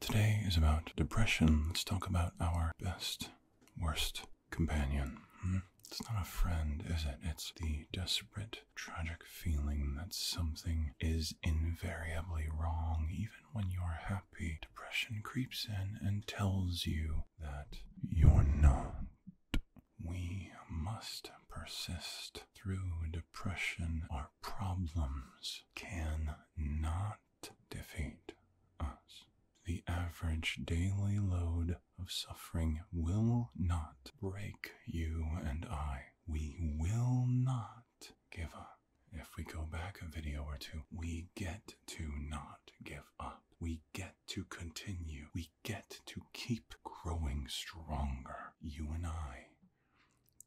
Today is about depression. Let's talk about our best, worst companion. Hmm? It's not a friend, is it? It's the desperate, tragic feeling that something is invariably wrong. Even when you're happy, depression creeps in and tells you that you're not. We must persist through depression. Our problems can not defeat us. The average daily load of suffering will not break you and I. We will not give up. If we go back a video or two, we get to not give up. We get to continue. We get to keep growing stronger. You and I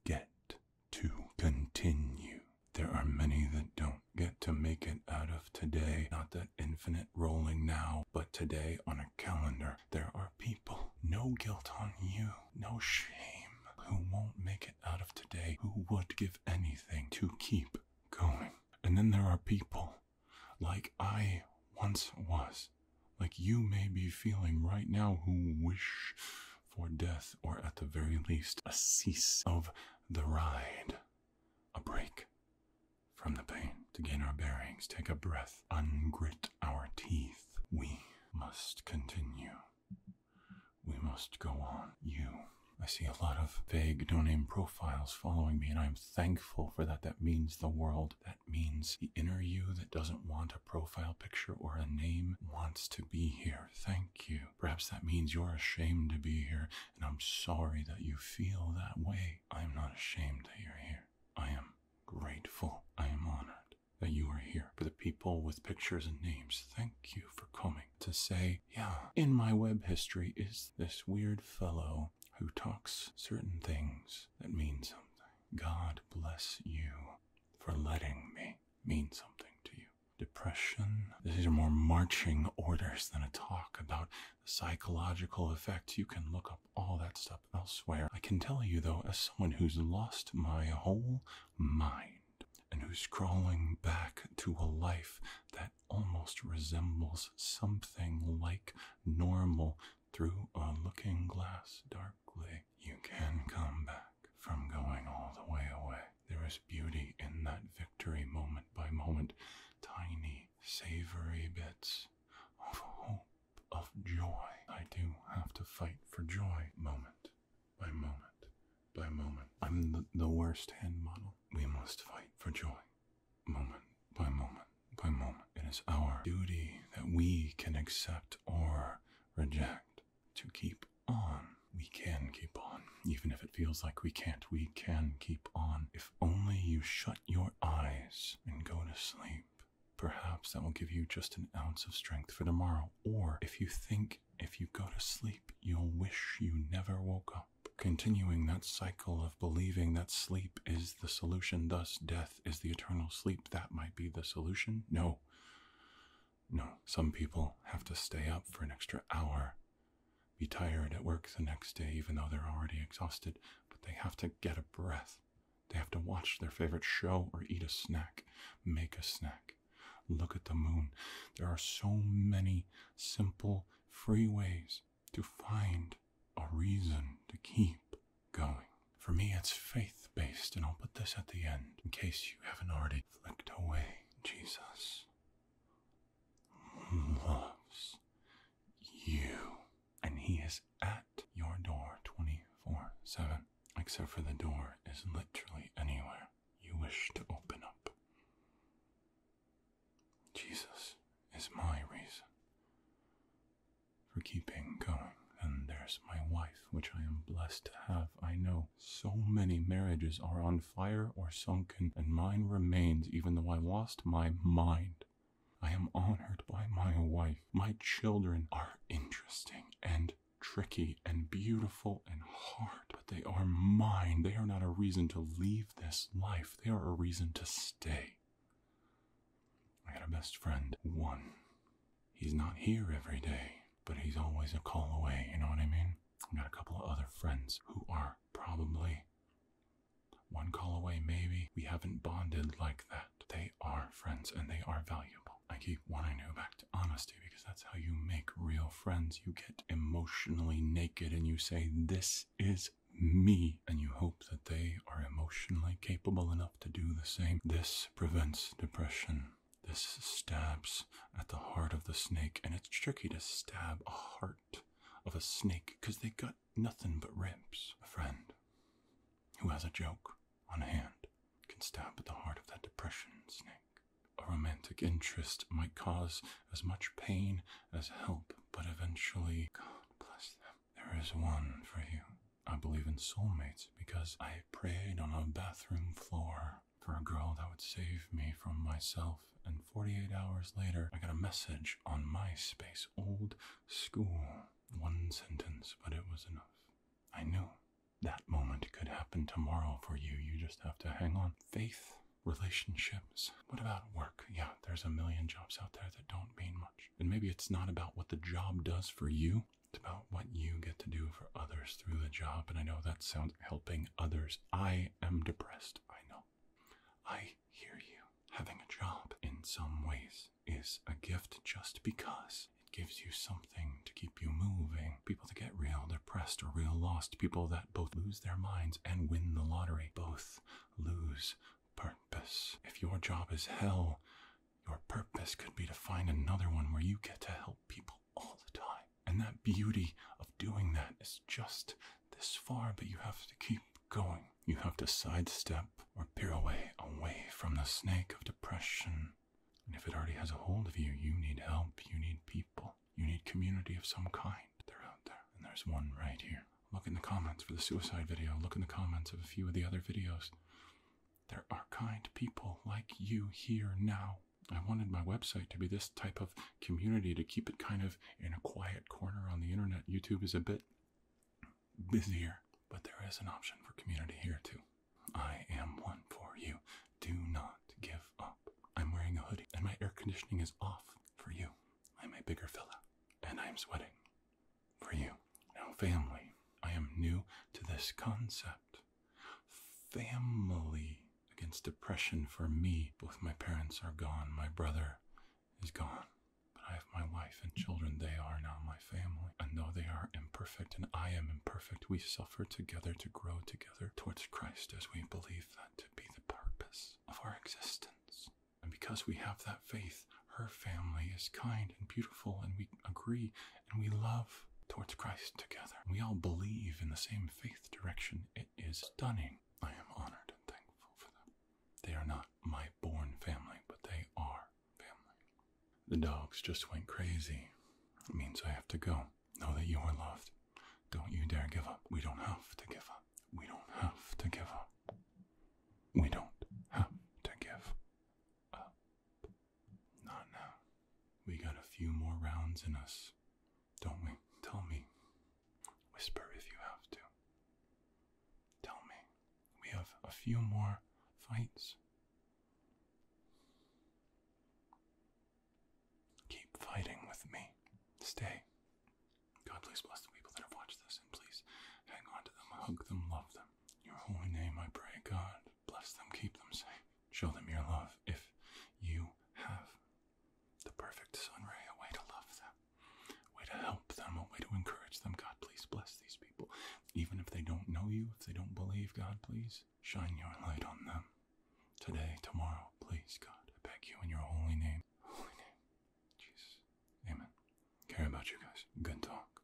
get to continue. There are many that don't get to make it out of today, not that infinite rolling now, but today on a calendar. There are people, no guilt on you, no shame, who won't make it out of today, who would give anything to keep going. And then there are people like I once was, like you may be feeling right now, who wish for death, or at the very least, a cease of the ride, a break from the pain. To gain our bearings, take a breath, ungrit our teeth. We must continue. We must go on. You. I see a lot of vague, no name profiles following me, and I'm thankful for that. That means the world. That means the inner you that doesn't want a profile picture or a name wants to be here. Thank you. Perhaps that means you're ashamed to be here, and I'm sorry that you feel that way. I am not ashamed that you're here. I am grateful. I am honored that you are here. For the people with pictures and names, thank you for coming to say, yeah, in my web history is this weird fellow who talks certain things that mean something. God bless you for letting me mean something to you depression. These are more marching orders than a talk about the psychological effects. You can look up all that stuff elsewhere. I can tell you, though, as someone who's lost my whole mind and who's crawling back to a life that almost resembles something like normal through a looking glass darkly. You can come back from going all the way away. There is beauty in that victory moment by moment, tiny, savory bits of hope, of joy. I do have to fight for joy moment by moment by moment. I'm the, the worst hand model. We must fight for joy moment by moment by moment. It is our duty that we can accept or reject to keep on. We can keep on. Even if it feels like we can't, we can keep on. If only you shut your eyes and go to sleep. Perhaps that will give you just an ounce of strength for tomorrow. Or if you think if you go to sleep, you'll wish you never woke up. Continuing that cycle of believing that sleep is the solution, thus death is the eternal sleep, that might be the solution. No. No, some people have to stay up for an extra hour, be tired at work the next day, even though they're already exhausted, but they have to get a breath. They have to watch their favorite show or eat a snack, make a snack, look at the moon. There are so many simple, free ways to find a reason to keep going. For me, it's faith based, and I'll put this at the end in case you haven't already flicked away. Jesus loves you. And He is at your door 24 7. Except for the door is literally anywhere you wish to open up. Jesus is my reason for keeping going. And there's my wife which I am blessed to have. I know so many marriages are on fire or sunken, and mine remains, even though I lost my mind. I am honored by my wife. My children are interesting and tricky and beautiful and hard, but they are mine. They are not a reason to leave this life, they are a reason to stay. I had a best friend, one. He's not here every day but he's always a call away, you know what I mean? I've got a couple of other friends who are probably one call away, maybe. We haven't bonded like that. They are friends and they are valuable. I keep wanting to go back to honesty because that's how you make real friends. You get emotionally naked and you say, This is me. And you hope that they are emotionally capable enough to do the same. This prevents depression. This stabs at the heart of the snake, and it's tricky to stab a heart of a snake, 'cause they got nothing but ribs. A friend who has a joke on hand can stab at the heart of that depression snake. A romantic interest might cause as much pain as help, but eventually, God bless them, there is one for you. I believe in soulmates because I prayed on a bathroom floor for a girl that would save me from myself. And 48 hours later, I got a message on MySpace, old school. One sentence, but it was enough. I knew that moment could happen tomorrow for you. You just have to hang on. Faith, relationships. What about work? Yeah, there's a million jobs out there that don't mean much. And maybe it's not about what the job does for you, it's about what you get to do for others through the job. And I know that sounds helping others. I am depressed. I know. I hear you. Having a job in some ways is a gift just because it gives you something to keep you moving. People to get real depressed or real lost, people that both lose their minds and win the lottery, both lose purpose. If your job is hell, your purpose could be to find another one where you get to help people all the time. And that beauty of doing that is just this far, but you have to keep going. You have to sidestep or pirouette away from the snake of depression. And if it already has a hold of you, you need help, you need people, you need community of some kind. They're out there, and there's one right here. Look in the comments for the suicide video, look in the comments of a few of the other videos. There are kind people like you here now I wanted my website to be this type of community to keep it kind of in a quiet corner on the internet. YouTube is a bit busier, but there is an option for community here too. I am one for you. Do not give up. I'm wearing a hoodie and my air conditioning is off for you. I'm a bigger fella and I'm sweating for you. Now, family, I am new to this concept family against depression for me. Both my parents are gone, my brother is gone. But I have my wife and children. They are now my family. And though they are imperfect and I am imperfect, we suffer together to grow together towards Christ as we believe that to be the purpose of our existence. And because we have that faith, her family is kind and beautiful, and we agree and we love towards Christ together. We all believe in the same faith direction. It is stunning. I am honored and thankful for them. They are not my born family, but they are family. The dogs just went crazy. It means I have to go. Know that you are loved. Don't you dare give up. We don't have to give up. We don't have to give up. We don't have to give up. Not now. We got a few more rounds in us, don't we? Tell me. Whisper if you have to. Tell me. We have a few more fights. Keep fighting with me. Stay. God, please bless the people that have watched this, and please hang on to them, hug them, love them. Your holy name, I pray, God. Bless them, keep them safe. Show them your love if you have the perfect sunray, a way to love them, a way to help them, a way to encourage them. God, please bless these people. Even if they don't know you, if they don't believe, God, please shine your light on them. Today, tomorrow, please, God, I beg you in your holy name. Holy name. Jesus. Amen. Care about you guys. Good talk.